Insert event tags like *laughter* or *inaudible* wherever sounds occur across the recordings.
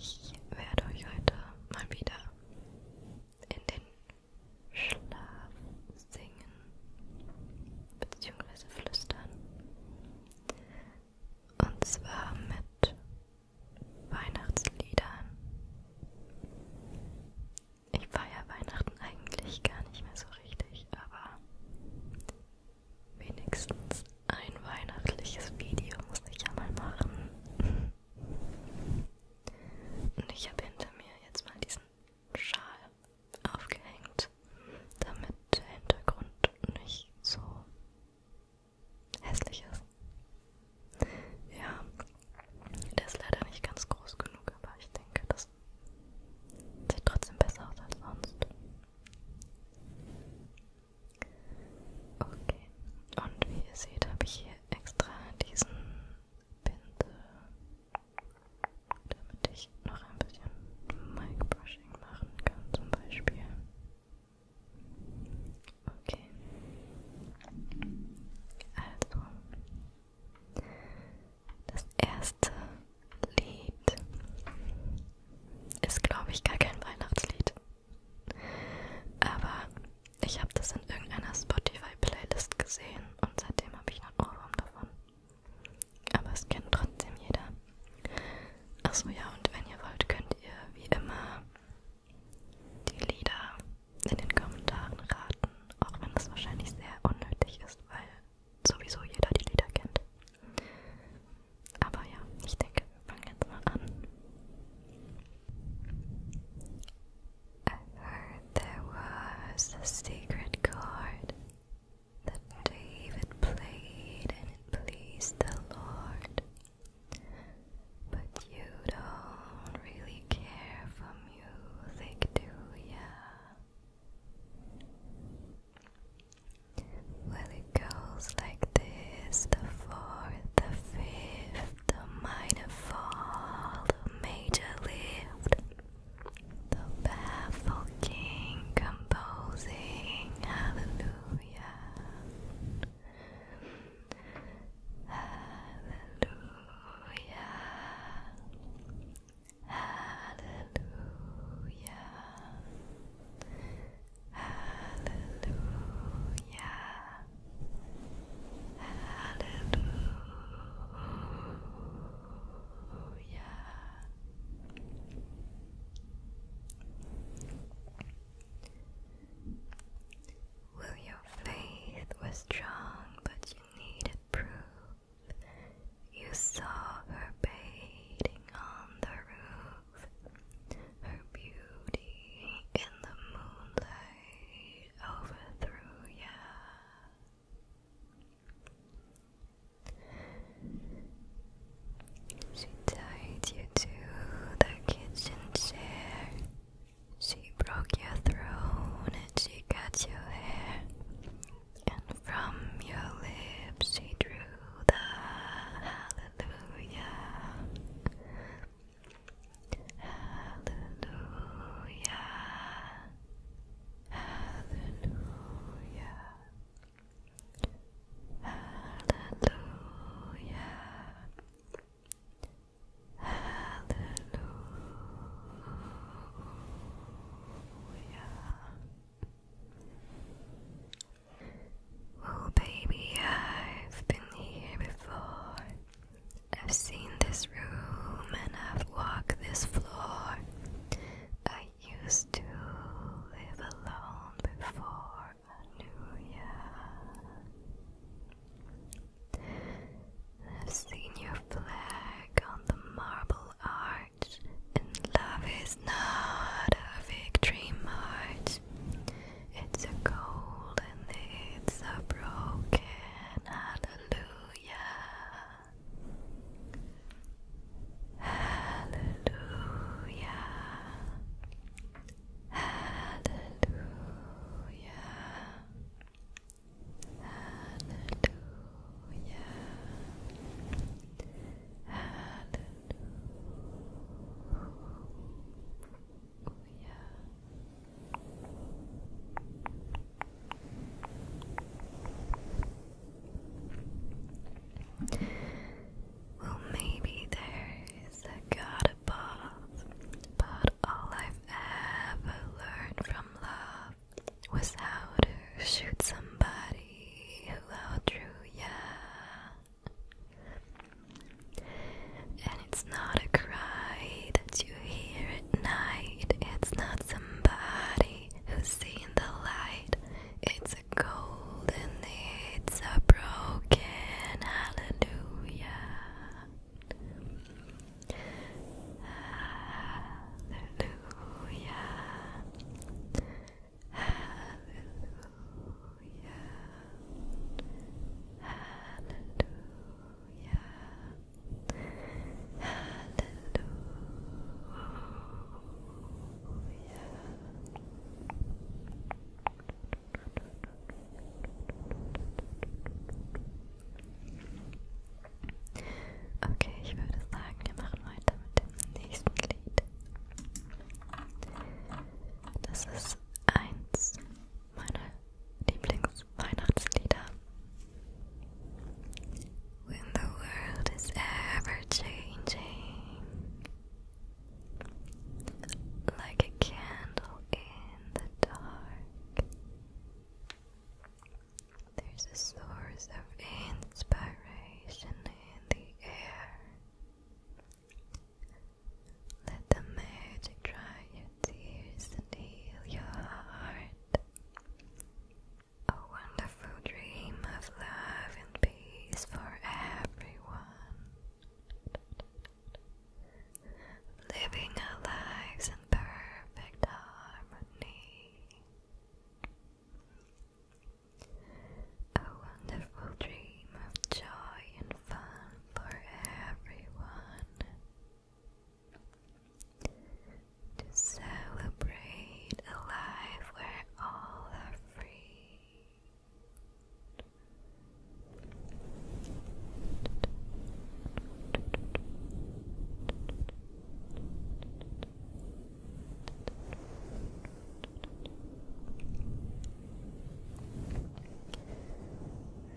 Ich werde euch heute mal wieder in den Schlaf singen bzw. flüstern. Und zwar mit Weihnachtsliedern. Ich feiere Weihnachten eigentlich gar nicht mehr so richtig, aber wenigstens ein weihnachtliches Video muss ich ja mal machen. Und ich habe hinter mir jetzt mal diesen Schal aufgehängt, damit der Hintergrund nicht so hässlich ist. Ja, der ist leider nicht ganz groß genug, aber ich denke, das sieht trotzdem besser aus als sonst. Okay, und wie ihr seht, habe ich hier extra diesen Pinsel, damit ich noch ein bisschen Mic-Brushing machen kann, zum Beispiel. Okay. Also das erste Lied ist, glaube ich, gar kein Weihnachtslied. Aber ich habe das in irgendeiner Spotify-Playlist gesehen und seitdem habe ich einen Ohrwurm davon. Aber es kennt trotzdem jeder. Achso, ja, und wenn ihr wollt, könnt ihr wie immer die Lieder in den Kommentaren raten, auch wenn das wahrscheinlich sehr unnötig ist, weil sowieso jeder die Lieder kennt. Aber ja, ich denke, wir fangen jetzt mal an. I heard there was a secret chord that David played and it pleased the Lord. But you don't really care for music, do ya? Well, it goes like this the fourth, the fifth, the minor fall, the major lift, the baffled king composing hallelujah. Hallelujah. Hallelujah. Hallelujah. Hallelujah. Well, your faith was strong, but you needed proof. You saw her bathing on the roof, her beauty in the moonlight overthrew you. She tied you to the kitchen chair. She broke your throne and she cut your hair. And from your lips she drew the hallelujah. Hallelujah. Hallelujah. Hallelujah. Hallelujah. Oh, baby, I've been here before. I've seen this room and I've walked this floor. I used to live alone before I knew ya. I've seen your flag on the marble arch, and love is not a victory march. It's a cold and it's a broken hallelujah. Hallelujah. Hallelujah. Hallelujah. Hallelujah. Well, maybe there is a God above, but all I've ever learned from love was how to shoot somebody who outdrew ya. And it's not a cry that you hear at night, it's not somebody who's seen the light, it's the golden needs are broken. Hallelujah. Hallelujah. Hallelujah. Hallelujah. Hallelujah. Okay, ich würde sagen, wir machen weiter mit dem nächsten Lied. Das ist eins meiner Lieblingsweihnachtslieder. when the world is ever changing, like a candle in the dark. There's a source of inspiration in the air. Let the magic dry your tears and heal your heart. A wonderful dream of love and peace for everyone. Living our lives in perfect harmony. A wonderful dream of joy and fun for everyone. To celebrate a life where where all are free.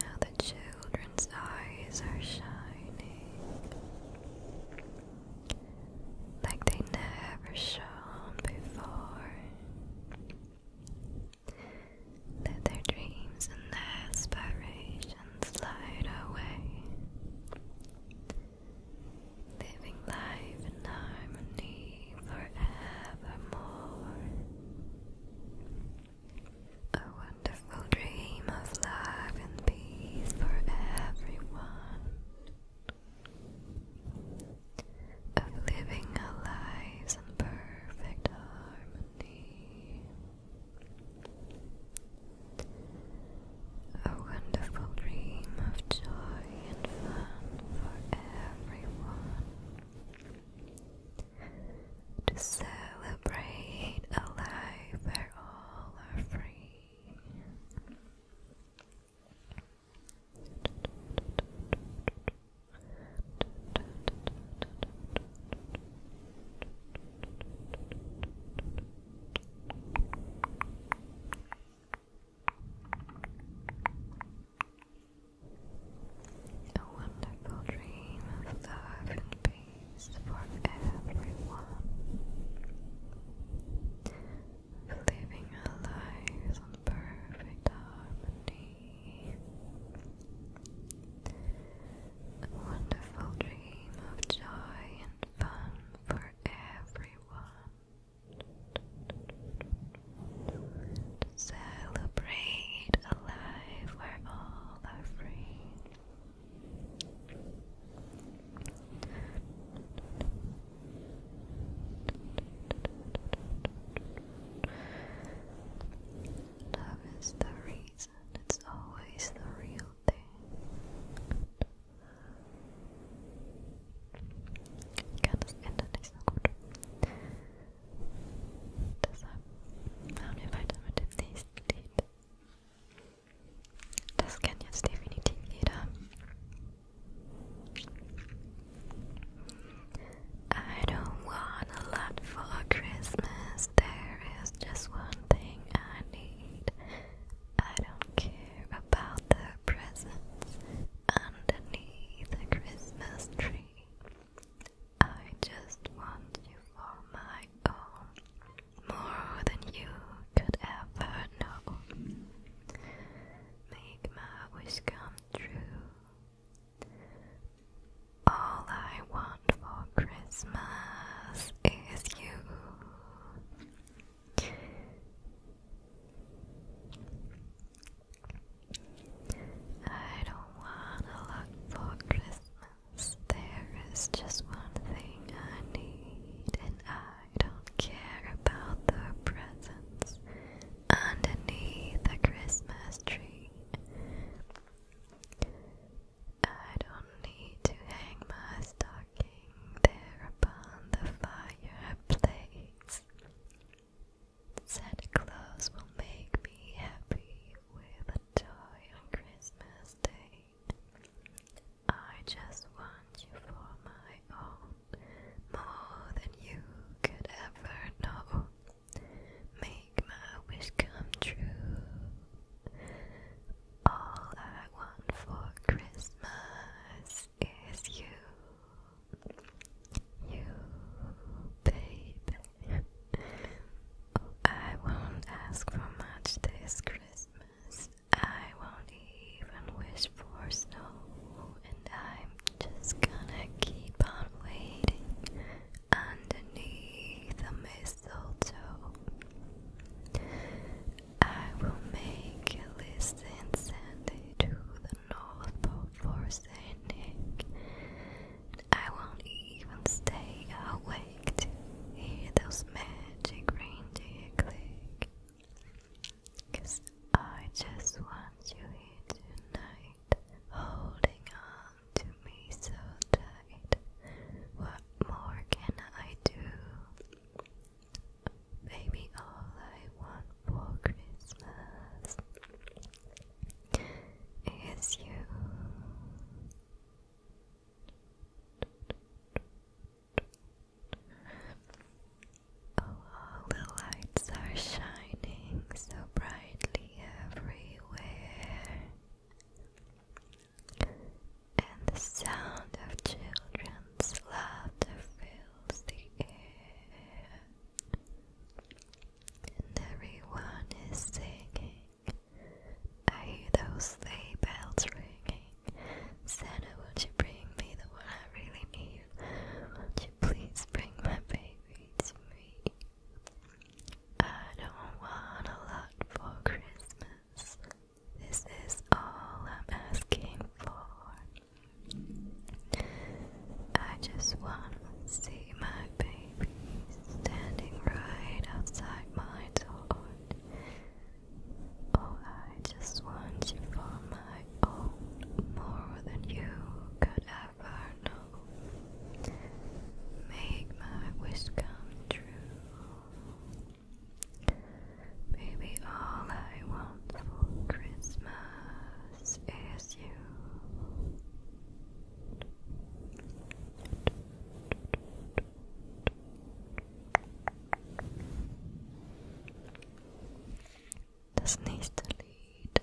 Now the children's eyes are shining like they never shone before. Let their dreams and their aspirations slide away. Living life in harmony forevermore. A wonderful dream of love and peace for everyone of living a life in perfect harmony. A wonderful dream of joy and fun for everyone. To celebrate a life where all are free. A wonderful dream of love and peace for everyone living our lives in perfect harmony. A wonderful dream of joy and fun for everyone. To celebrate a life where all are free. Love is the reason, it's always the real thing. Kann das Ende nicht so gut. Deshalb wir weiter mit dem nächsten Lied. I don't want a lot for Christmas. There is just one thing I need. I don't care about the presents underneath the Christmas tree. I just want you for my own more than you could ever know. Make my wish come true. All I want for Christmas is you. I don't wanna look for Christmas. There is just one thing I need, and I I don't care about the presents underneath the Christmas tree. I don't need to hang my stocking there upon the fireplace. Santa Claus will make me happy with a toy on Christmas Day. I just want you for my own, more than you could ever know. Make my wish come true. All I want for Christmas is you. You, baby. Oh, I won't ask for much this Christmas. I won't even wish for snow, and I'm just gonna keep on waiting underneath the mistletoe. I will make a list and send it to the North Pole for Saint Nick. I won't even stay awake hear those magic reindeer click. I just want you here tonight, holding on to me so tight. What more can I do? Baby, all I want for Christmas is you. *laughs* Oh, the lights are shining so brightly everywhere, and the sound of children's laughter fills the air, and everyone is singing. I hear those sleigh bells ringing. Santa, won't you bring me the one I really need? Won't you please bring my baby to me? I don't want a lot for Christmas. This is all I'm asking for. I just want to see my baby standing right outside my door. Oh, I just want you for my own, more than you could ever know. Make my wish come true. Baby, all I want for Christmas is you. Das nächste Lied.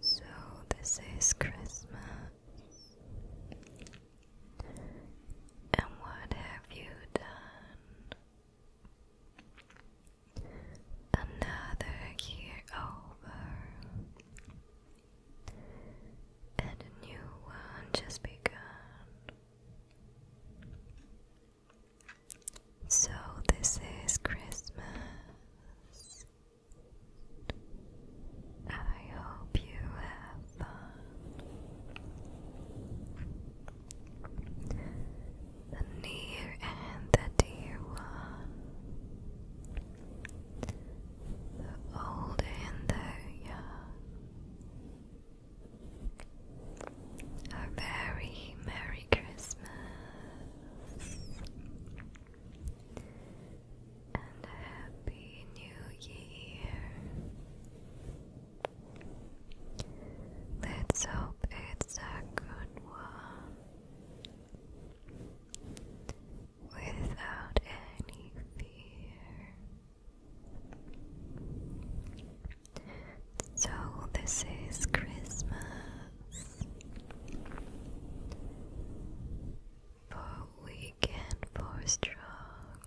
So, this is Christmas. And what have you done? Another year over and a new one just begun. So, this is Christmas. I hope you have fun. The near and the dear one. The older and the young. A very Merry Christmas and a Happy New Year. Let's hope it's a good one without any fear. So, this is Christmas, for weak and for strong,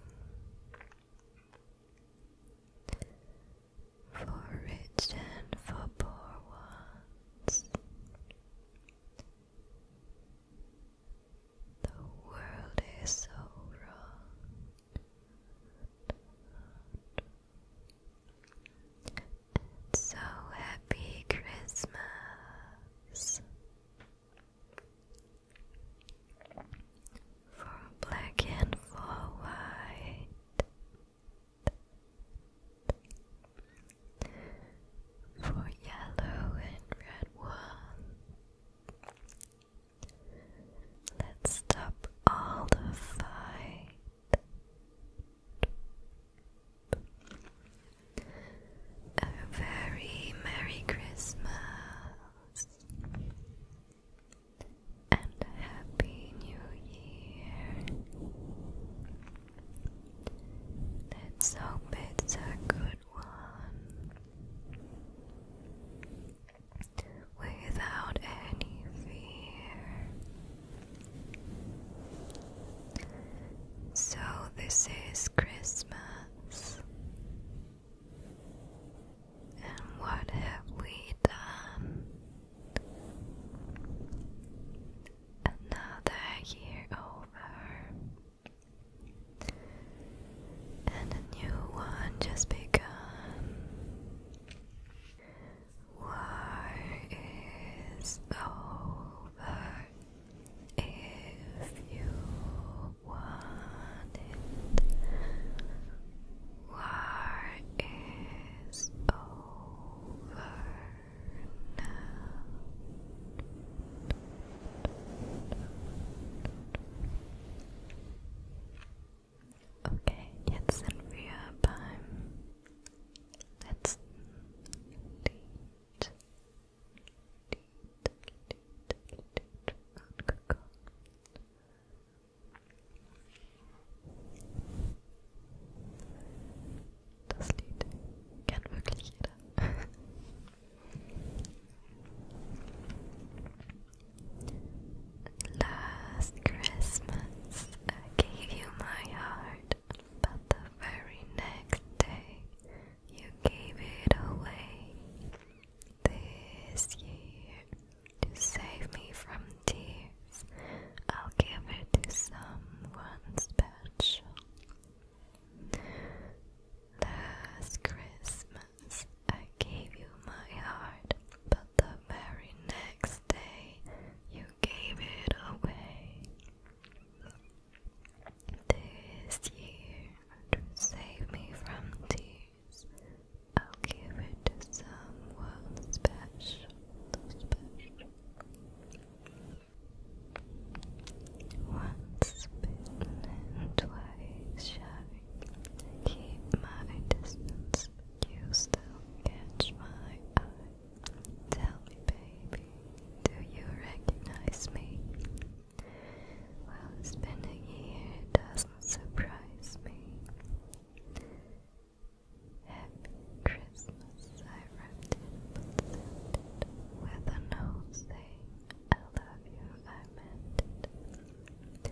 for rich and for poor ones. The world is so wrong. so happy Christmas for black and for white for yellow and red one. Let's stop all the fight. A very Merry Christmas and a Happy New Year. Let's hope it's a good one without any fear. So, this is Christmas, and what have we done? Another year over, and a new one just begun. War is over if you want it. War is over now. Okay, jetzt sind wir beim letzten Das Lied kennt wirklich jeder. Last Christmas I gave you my heart, but the very next day you gave it away. This year to save me from tears. I'll give it to someone special. Last Christmas, I gave you my heart, but the very next day, you gave it away. This year, save me from tears, I'll give it to someone special. Once bitten twice shy. Keep my distance, you still catch my eye. Tell me, baby, do you recognize me? Well, it's been a year, doesn't surprise me. Happy Christmas, I wrapped it but sent it with a note saying, I love you, I meant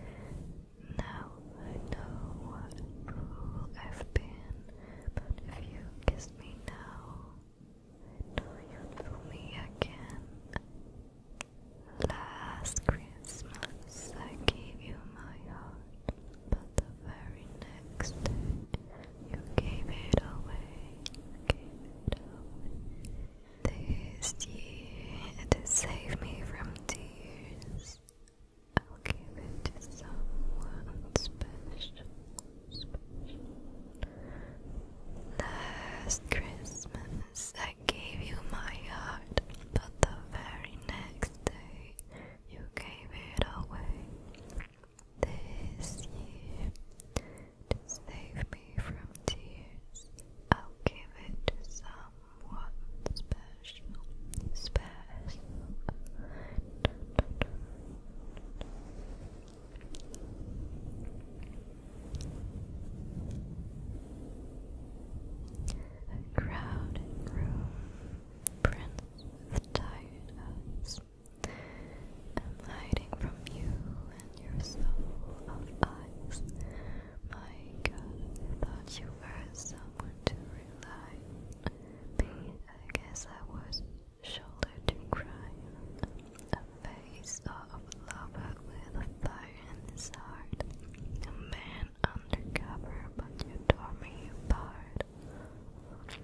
Now I know what fool I've been, but if you kiss me now, I know you'll fool me again. Last Christmas I gave you my heart, but the very next day, you gave it away. This year, to save me from tears, I'll give it to someone Special. Last Christmas, I gave you my heart, but the very next day, you gave it away this year to save me from tears. I'll give it to someone special, special. crowded room, friendly the tiredness. I'm hiding from you and your soul of eyes. My God, thought you were someone to rely on. I guess I was shoulder to cry on. A face of a lover with a fire in his heart. A man undercover, but you tore me apart heart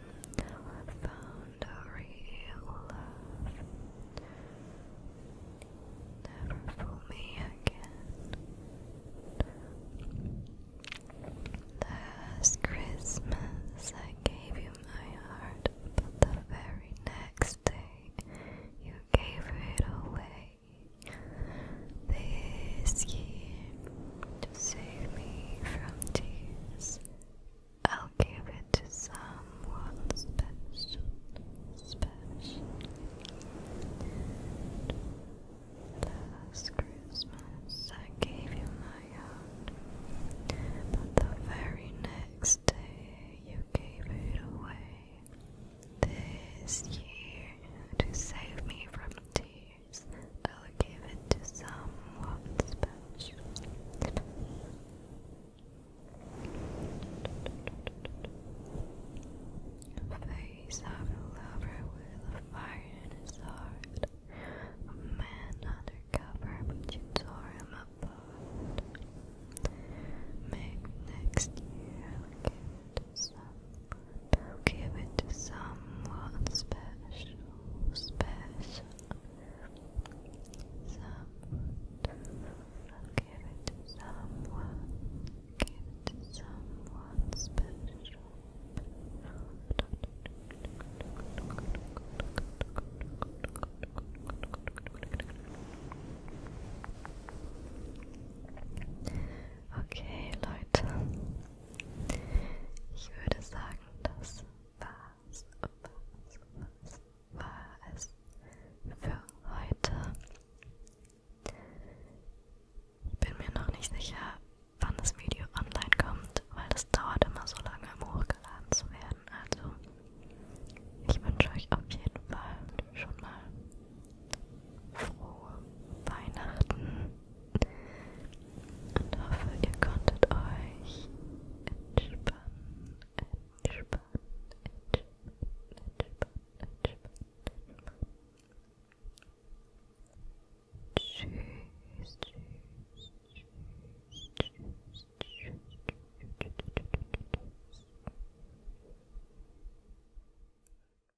found a real love. Never fool me again. Last Christmas I gave you my heart, but the very next day you gave it away this year to save me from tears. I'll give it to someone special, Last Christmas I gave you my heart, but the very next day you gave it away. This year to save me from tears years, I'll give it to someone special. Face of a lover with a fire in his heart. A man undercover, but you tore him apart. Maybe next year some I'll give it to someone special, special Someone i give it to someone Give it to someone special Okay, Leute, Ich würde sagen, das war's, war's, war's, war es für heute. Ich bin mir noch nicht sicher, wann das Video online kommt, weil das dauert immer so lange, um hochgeladen zu werden. Also, ich wünsche euch auf jeden Fall schon mal frohe Weihnachten und hoffe, ihr konntet euch entspannen, entspannen, entspannen, entspannen, entspannen. Tschüss, tschüss, tschüss, tschüss, tschüss, tschüss, tschüss.